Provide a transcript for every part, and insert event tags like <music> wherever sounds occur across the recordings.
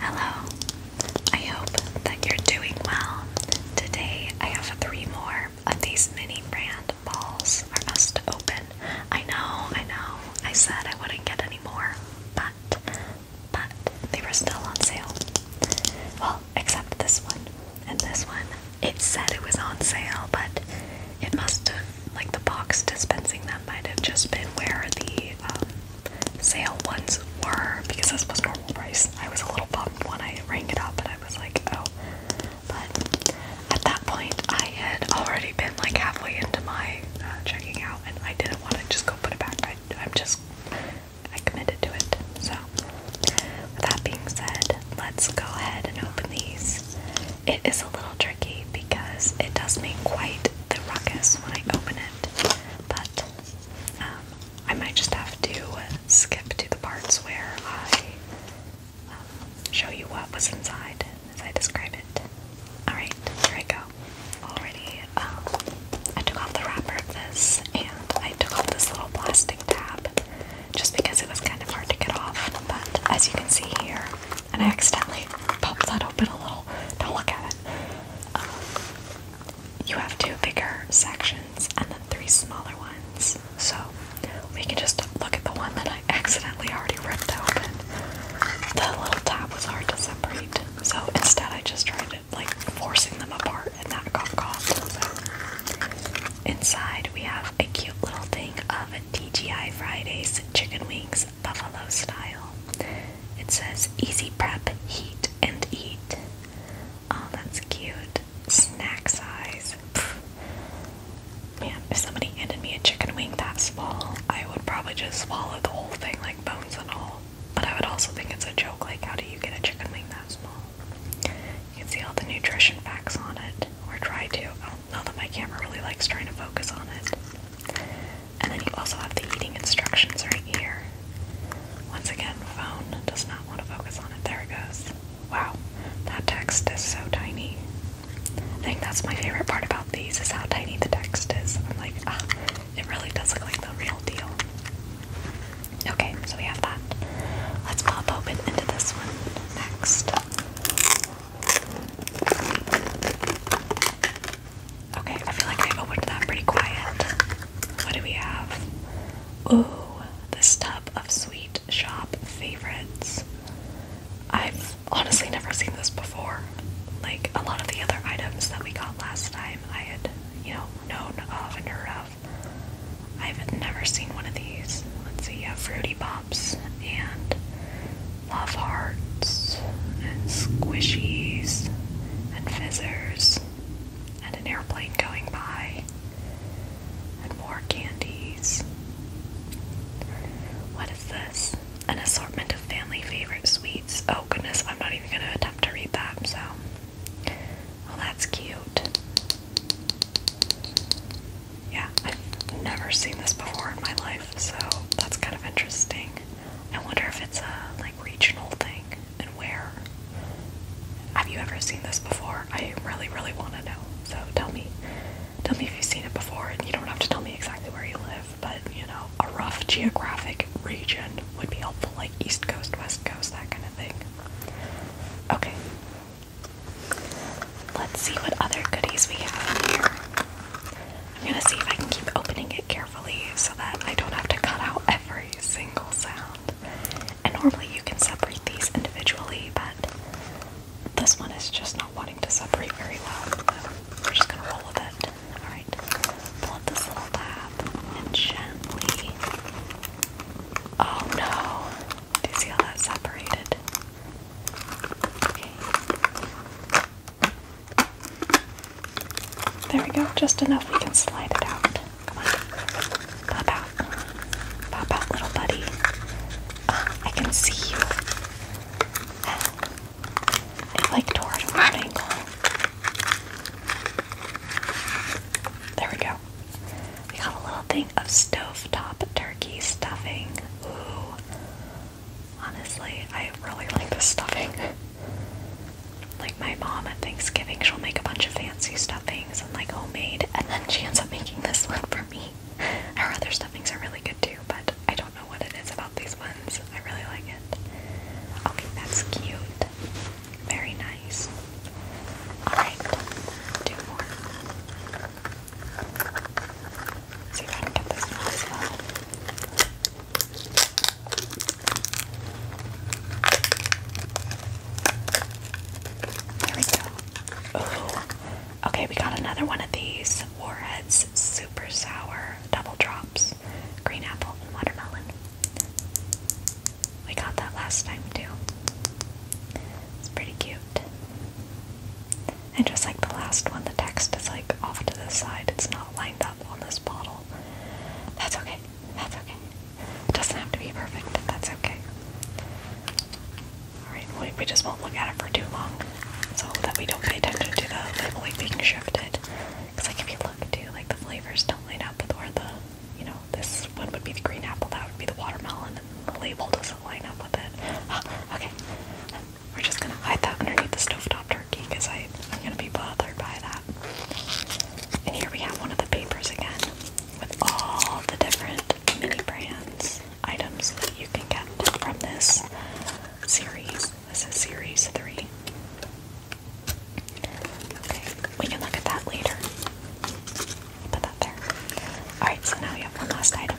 Hello, I hope that you're doing well. Today I have three more of these mini brand balls for us to open. I know, I know, I said I wouldn't get any more, but, but they were still on sale. Well, except this one and this one. It said it was on sale, but it must have like the box dispensing them might have just been where the um, sale ones were because this was normal price. I was a little bummed when I rang it up and I was like, oh. But at that point, I had already been like halfway into my uh, checking out and I didn't want to just go put it back. I, I'm just, I committed to it. So, with that being said, let's go ahead and open these. It is a little because it does make quite the ruckus when I open it, but um, I might just have to skip to the parts where I um, show you what was inside as I describe it. Alright, here I go. Already, um, I took off the wrapper of this and I took off this little plastic tab just because it was kind of hard to get off, but as you can see here, and I accidentally popped that open a little. Don't look at it. Um, you have two bigger sections and then three smaller ones. So we can just look at the one that I accidentally already ripped open. The little tab was hard to separate, so instead I just tried it like forcing them apart and that got caught. inside we have a cute little thing of TGI Fridays chicken wings buffalo style. It says easy prep, heat, and eat. Oh, that's cute. Snack size. Man, if somebody handed me a chicken wing that small, I would probably just swallow the whole thing, like bones and all. But I would also think it's a joke, like, how do you get a chicken wing that small? You can see all the nutrition facts on it, or try to. Oh, now that my camera really likes trying to focus on it. And then you also have the eating instructions right here. Once again, phone does not want to focus on it. There it goes. Wow, that text is so tiny. I think that's my favorite part about these is how tiny the text is. I'm like, ah, it really does look like the real deal. Okay, so we have that. Let's pop open into this one next. Okay, I feel like I opened that pretty quiet. What do we have? Ooh, this tub of sweet shop favorites. I've honestly never seen this before. Like a lot of the other items that we got last time, I had, you know, known of and heard of. I've never seen one of these. Let's see, yeah, Fruity Pop and Love Hearts and Squishies and Fizzers and an airplane going by and more candies. What is this? An assortment of family favorite sweets. Oh goodness, I'm not even going to attempt to read that, so. Well, that's cute yeah, I've never seen this before in my life, so that's kind of interesting. I wonder if it's a like regional thing and where. Have you ever seen this before? I really, really want to know. So tell me, tell me if you've seen it before, and you don't have to tell me exactly where you live, but you know, a rough geographic region would be helpful, like East Coast, West Coast, that kind of thing. Okay. Let's see what other goodies we have here. I'm gonna see if I can keep opening it carefully so that I don't have to cut out every single sound. And normally you can separate these individually, but this one is just not wanting to separate very well. we're just gonna roll with it. Alright, pull this little tab and gently. Oh no! Do you see how that separated? There we go, just enough we can slide it out. Come on. Pop out. Pop out, little buddy. Uh, I can see you. It like tore it from an There we go. We got a little thing of stovetop turkey stuffing. Ooh. Honestly, I really like this stuffing. Like my mom at Thanksgiving, she'll make a bunch of fancy stuffings and like homemade, and then she ends up making this <laughs> one for me. Her other stuffings are really good too, but I don't know what it is about these ones. I really like it. Okay, that's cute. Very nice. Alright, do more. See if I can get this one as well. There we go. Ooh. Okay, we got another one of these Warheads Super Sour Double Drops Green Apple and Watermelon. We got that last time too. It's pretty cute. And just like the last one, the text is like off to the side. It's not lined up on this bottle. That's okay. That's okay. It doesn't have to be perfect. That's okay. Alright, we, we just won't look at it for too long so that we don't pay attention to the label being shifted. Because like if you look too, like the flavors don't line up with where the, you know, this one would be the green apple, that would be the watermelon the label doesn't line up with it. Ah, okay, we're just gonna hide that underneath the stovetop turkey because I'm gonna be bothered by that. And here we have one of the papers again with all the different mini brands items that you can get from this series. This is series three. Okay, we can look at that later. Put that there. Alright, so now we have one last item.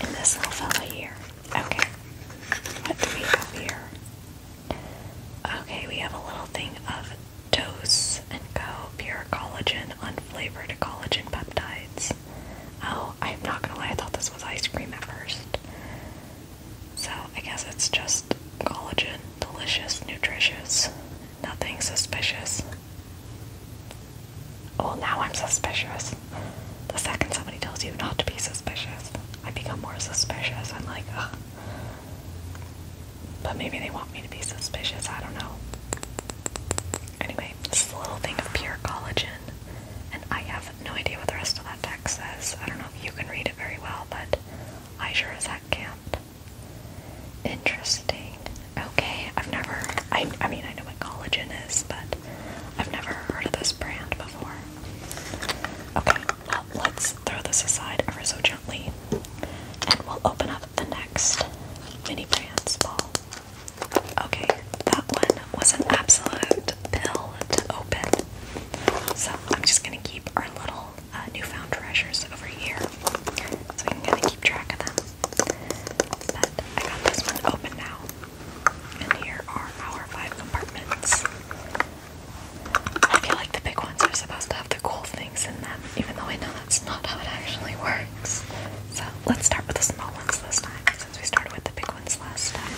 in this little fella here. Okay. What do we have here? Okay, we have a little thing of Dose and go Pure Collagen Unflavored Collagen Peptides. Oh, I'm not gonna lie, I thought this was ice cream at first. So I guess it's just collagen, delicious, nutritious, Nothing suspicious. Oh, now I'm suspicious. The second somebody tells you not to be suspicious, I become more suspicious. I'm like, But maybe they want me to be suspicious. I don't know. Anyway, this is a little thing of pure collagen, and I have no idea what the rest of that text says. I don't know if you can read it very well, but I sure as heck can't. Interesting. Okay, I've never. I, I mean, I know what collagen is, but I've never heard of this brand before. Okay, now let's throw this aside ever so gently, and we'll open up the next mini brand small. Okay, that one was an absolute pill to open. So I'm just gonna keep our little uh, newfound treasures over here, so we can kind of keep track of them. I got this one open now. And here are our five compartments. I feel like the big ones are supposed to have the cool things in them, even though I know that's not how it actually works. So let's start with the small ones this time, since we started with the big ones last time.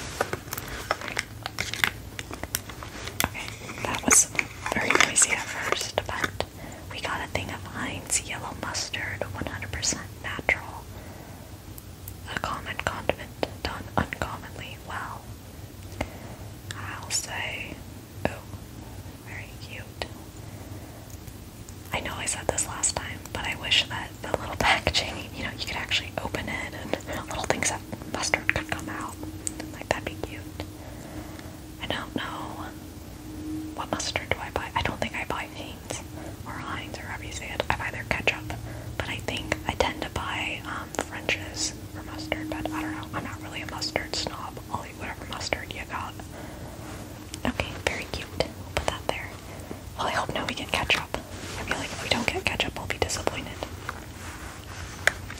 Okay, that was very noisy at first, but we got a thing of Heinz yellow mustard, 100% natural, a common condiment done uncommonly well. I'll say, oh, very cute. I know I said this last time, but I wish that the little packaging, you know, you could actually open it and little things of mustard could come out. Like, that'd be cute. I don't know. What mustard do I buy? I don't think I buy Hanes or Heinz or however you say it. I buy their ketchup, but I think I tend to buy um, French's for mustard. But I don't know. I'm not really a mustard snob. I'll eat whatever mustard you got. Okay, very cute. We'll put that there. Well, I hope now we get ketchup. I feel like if we don't get ketchup, I'll be disappointed.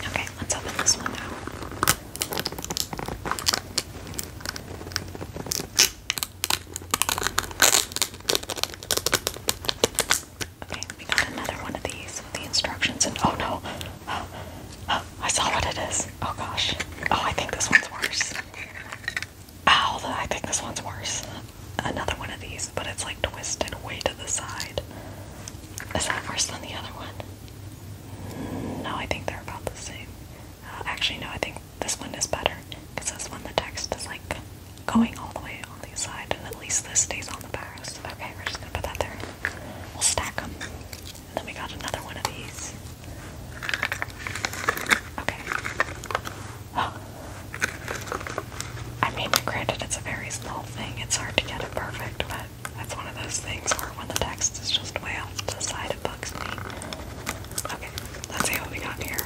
Okay, let's open this one now. Okay, we got another one of these with the instructions and oh no. Oh, I saw what it is. Oh gosh. Oh, I think this one's worse. Ow, I think this one's worse. Another one of these, but it's like twisted way to the side. Is that worse than the other one? No, I think they're about the same actually, no, I think this one is better because this one the text is like going all the way on the side, and at least this stays on the bars. Okay, we're just gonna put that there. We'll stack them. And then we got another one of these. Okay. <gasps> I mean, granted, it's a very small thing. It's hard to get it perfect, but that's one of those things where when the text is just way off to the side, it bugs me. Okay, let's see what we got here.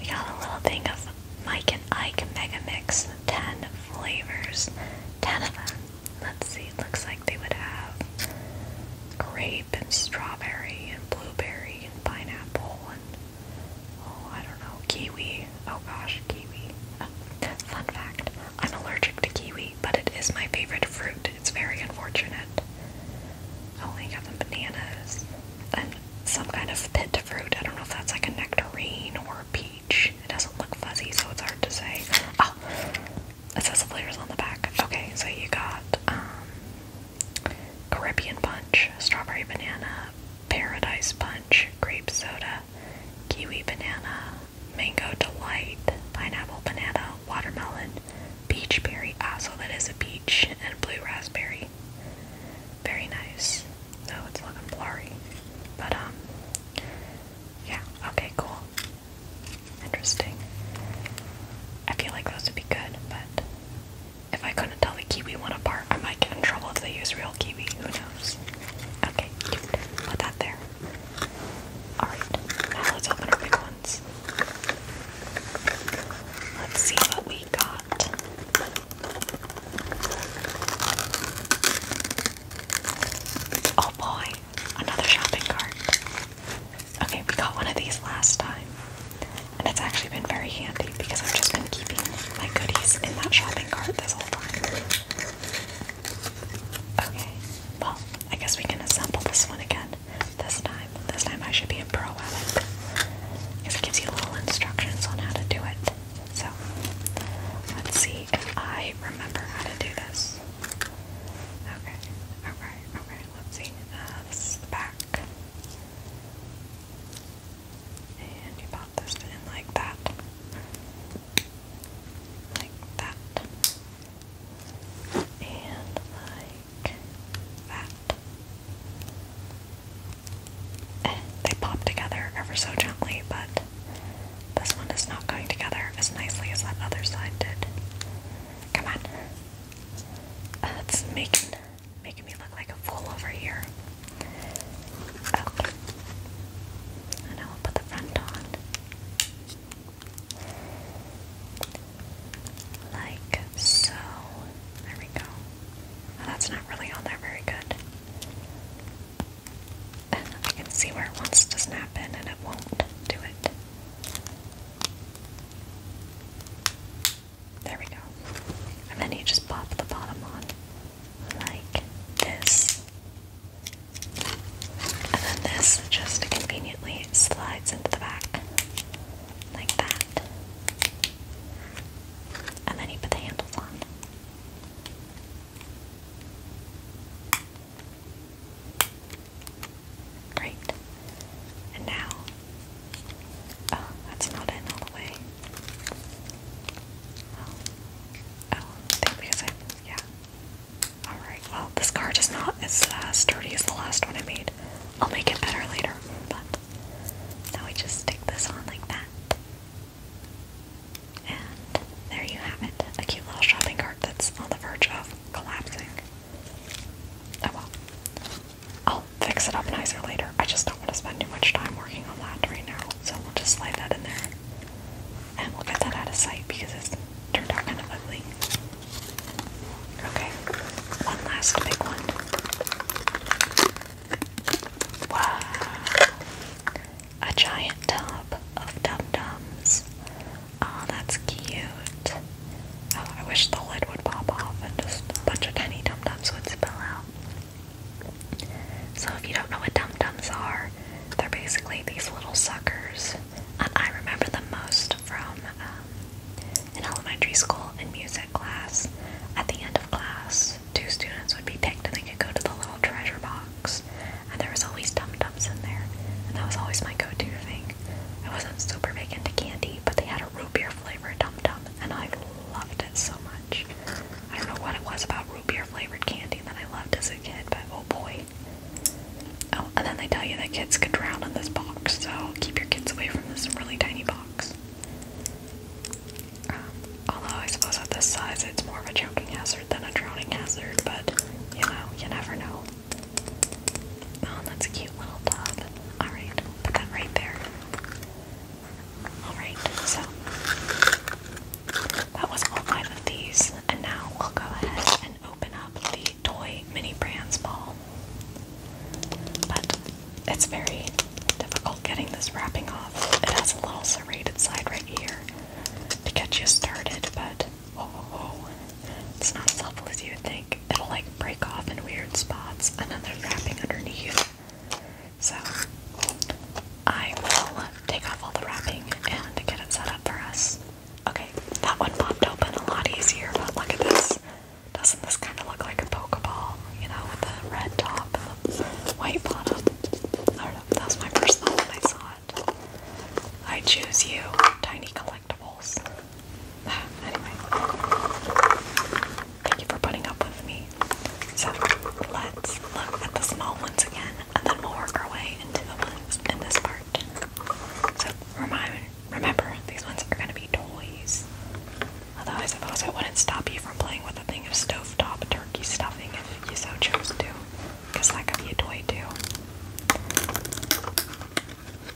We got a little thing of Mike and Ike Mega Mix 10 flavors. 10 of them. Let's see, it looks like they would have grape and strawberry and blueberry and pineapple and oh, I don't know, kiwi. Oh gosh, kiwi. Oh, <laughs> fun fact, I'm allergic to kiwi, but it is my favorite fruit. It's very unfortunate. Oh, they got the bananas. And some kind of pit fruit. I don't know if that's like a nectarine or a peach. It doesn't look fuzzy, so it's hard to say. Oh, it says the flavors on the back. Okay, so you got um, Caribbean punch, strawberry banana, Paradise Punch, Grape Soda, Kiwi Banana, Mango Delight, Pineapple Banana, Watermelon, Peach Berry. Ah, so that is a peach and blue raspberry. Very nice. No, it's looking blurry. But, um, yeah, okay, cool. Interesting. I feel like those would be good, but if I couldn't tell the kiwi one apart, I might get in trouble if they use real kiwi. Who knows? Okay, Put that there. Alright, now let's open our big ones. Let's see what we got. Oh boy, another shopping cart. Okay, we got one of these last time. And it's actually been very handy because I've just been keeping my goodies in that shopping cart this whole time. Okay, well, I guess we can assemble this one again. This time. This time I should be a pro at it. it gives you little instructions on how to do it. So, let's see if I remember how to do this. Okay, okay, okay, let's see. Uh, this is the back. And you pop this in like that. Like that. And like that. they pop together ever so gently, but this one is not going together as nicely as that other side did. Come on. That's making Making me look like a fool over here. Okay. And I will put the front on. Like so. There we go. that's not really on there very good. I can see where it wants to snap in and it won't do it. There we go. And then you just pop the bottom on, like this. And then this just conveniently slides into the back, like that. And then you put the handles on. Great. And now Oh, that's not in all the way. Oh, I think because I, yeah. Alright, well, this card is not as uh, sturdy as the last one I made. I'll make it better later, but now we just stick this on like that. And there you have it, a cute little shopping cart that's on the verge of collapsing. Oh well. I'll fix it up nicer later. I just don't want to spend too much time working on that right now, so we'll just slide that in there. And we'll get that out of sight because it's turned out kind of ugly. Okay, one last big one. Wow. A giant tub of dum-dums. Oh, that's cute. Oh, I wish the lid would pop off and just a bunch of tiny dum dums would spill out. So, if you don't know what dum dums are, they're basically these little suckers. And I remember them most from um, in elementary school in music class. At the end of class, two students would be picked and they could go to the little treasure box. And there was always dum dums in there. And that was always my go to thing. I wasn't super big into candy, but they had a root beer flavor dum dum and I loved it so much. I don't know what it was about root beer flavored candy that I loved as a kid, but oh boy. Oh, and then they tell you that kids could drown in this box, so keep your kids away from this really tiny box. Um, although I suppose at this size it's more of a choking hazard than a drowning hazard, but you know, you never know. Oh, that's a cute little tub. Alright, put that right there. Alright, so that was all five of these, and now we'll go ahead and open up the Toy Mini Brands Ball. But it's very difficult getting this wrapping off. It has a little serrated side right here to get you started, but oh, it's not as helpful as you would think it'll like break off in weird spots and then there's wrapping underneath. So I will take off all the wrapping and get it set up for us. Okay, that one popped open a lot easier, but look at this. Doesn't this kind of look like a Pokeball, you know, with the red top and the white bottom? that was my first thought when I saw it. I choose you, Tiny Collector. <sighs> anyway, thank you for putting up with me. So let's look at the small ones again, and then we'll work our way into the ones in this part. So remind, remember, these ones are going to be toys. Although I suppose it wouldn't stop you from playing with a thing of stovetop turkey stuffing if you so chose to, because that could be a toy too.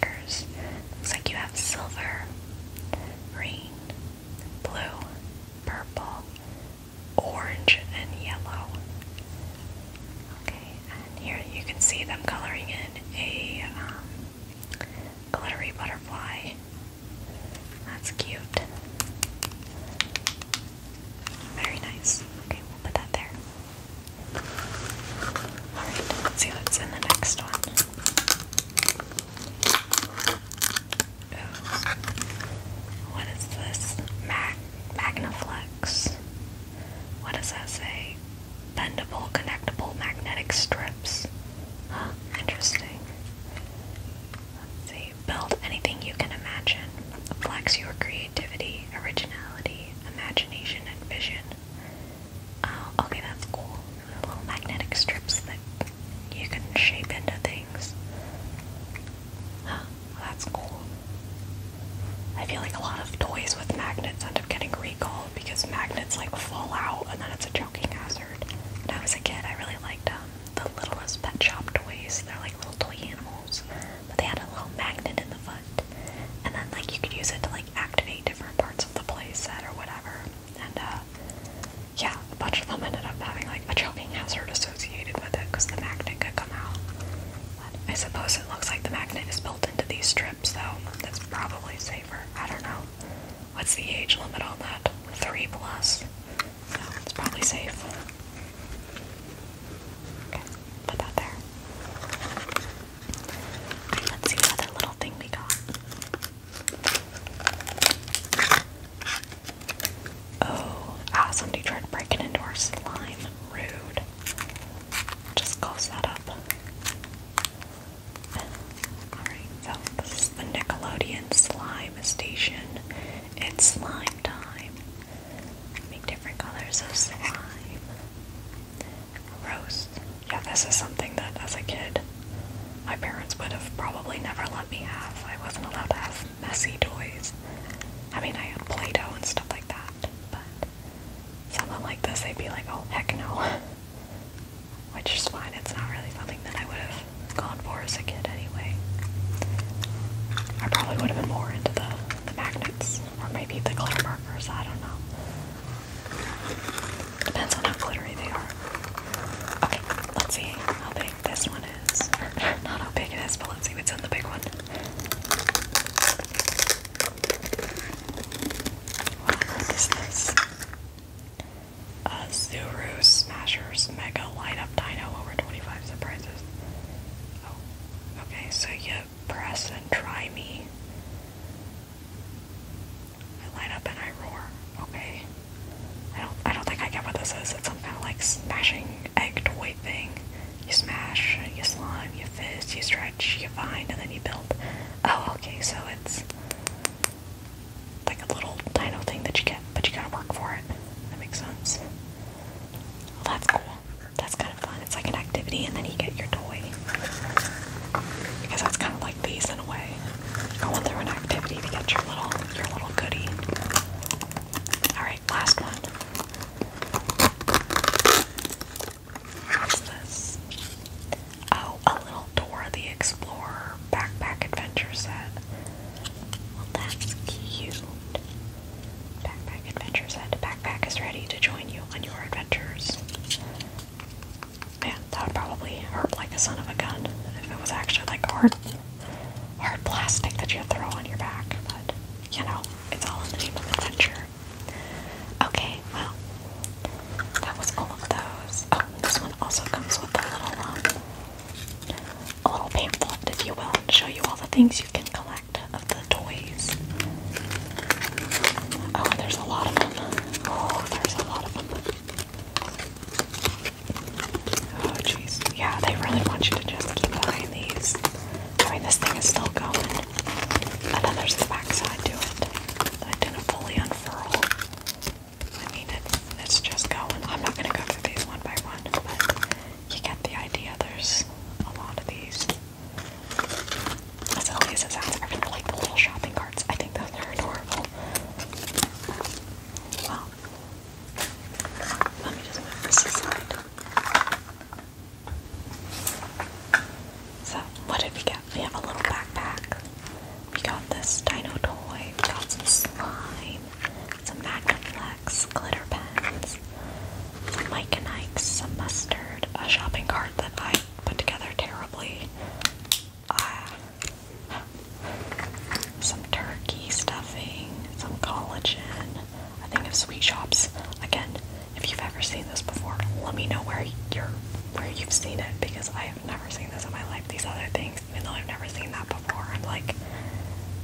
markers. Looks like you have silver, green, blue, purple, orange, and yellow. Okay, and here you can see them coloring in a um, glittery butterfly. That's cute. Very nice. Okay, we'll put that there. Alright, let's see what's in the next one. What is this? Mag Magnaflex. What does that say? Bendable, connectable magnetic strips. Huh, interesting. Let's see. Build anything you can imagine. Flex your creativity, originality, imagination, and vision. Oh, okay, that's cool. little magnetic strips that you can shape into things. Huh, that's cool. I feel like a lot of toys with magnets end up getting recalled because magnets like fall out and then it's a choking hazard. When I was a kid, I really liked um, the littlest pet shop toys. They're like little toy animals, but they had a little magnet in the foot. And then like you could use it to like activate different parts of the playset or whatever and uh, yeah, a bunch of them ended up having like a choking hazard associated with it because the magnet could come out. I suppose it looks like the magnet is built into these strips, so that's probably safer. I don't know. What's the age limit on that? Three plus. So it's probably safe. Okay, put that there. Let's see what little thing we got. Oh, ah, somebody tried breaking into our slime. Rude. Just close that up. Alright, so this is the Nickelodeon slime station. It's slime time. Make different colors of slime. Roast. Yeah, this is something that as a kid my parents would have probably never let me have. I wasn't allowed to have messy toys. I mean, I had Play Doh and stuff like that, but something like this, they'd be like, oh, heck no. <laughs> Which is fine, it's not really something that I would have gone for as a kid anyway. I probably would have been more into the, the magnets or maybe the glitter markers, I don't know. Depends on how glittery they are. Okay, let's see how big this one is. <laughs> not how big it is, but let's see what's on the big one. What this? Uh, Zuru Smashers Mega Light Up Dino over 25 surprises. Oh, okay, so you press and try me. I line up and I roar. Okay. I don't. I don't think I get what this is. It's some kind of like smashing egg toy thing. You smash, you slime, you fist, you stretch, you vine, and then you build. Oh, okay. So it's like a little dino thing that you get, but you gotta work for it. That makes sense. Well, that's cool. That's kind it's like an activity, and then you get your toy. Because that's kind of like these in a way. Going through an activity to get your little your little goodie. All right, last one. What's this? Oh, a little Dora the Explorer backpack adventure set. Well, that's cute. Backpack adventure set. Backpack is ready to join you on your adventures. Man, that would probably hurt like a son of a gun if it was actually like hard, hard plastic that you throw on your back. But you know, it's all in the name of adventure. Okay, well, that was all of those. Oh, this one also comes with a little, um, a little pamphlet, if you will, to show you all the things you can collect the toys. Oh, there's a lot of them. Oh, there's a lot of them. Oh, jeez. Yeah, they really want you to just keep buying these. I mean, this thing is still going. And then there's the backside to it. I didn't fully unfurl. I mean, it's just going. I'm not going to go through these one by one, but you get the idea. There's a lot of these. As silly sounds, I like the little shopping carts. I think those are adorable. Wow. Let me just move this aside. So, what did we get? We have a little backpack. We got this dino toy. We got some slime, some Magnaflex, glitter pens, some Mike and Ike's, some mustard, a shopping cart that I put together terribly. Uh, some turkey stuffing, some collagen. a thing of sweet shops. Again, if you've ever seen this before, let me know where you're where you've seen it because I have never seen this in my life. These other things, even though I've never seen that before, I'm like,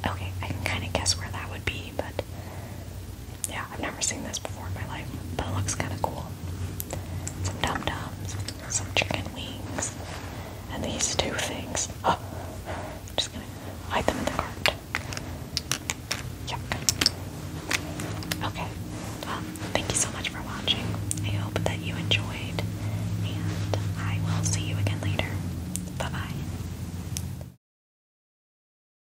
okay, I can kind of guess where that would be, but yeah, I've never seen this before in my life, but it looks kind of cool. Some dum dums, some chicken wings, and these two things. Oh, I'm just gonna hide them in the cart. Yuck. Okay. Um, thank you so much for watching. I hope that you enjoyed, and I will see you again later. Bye bye.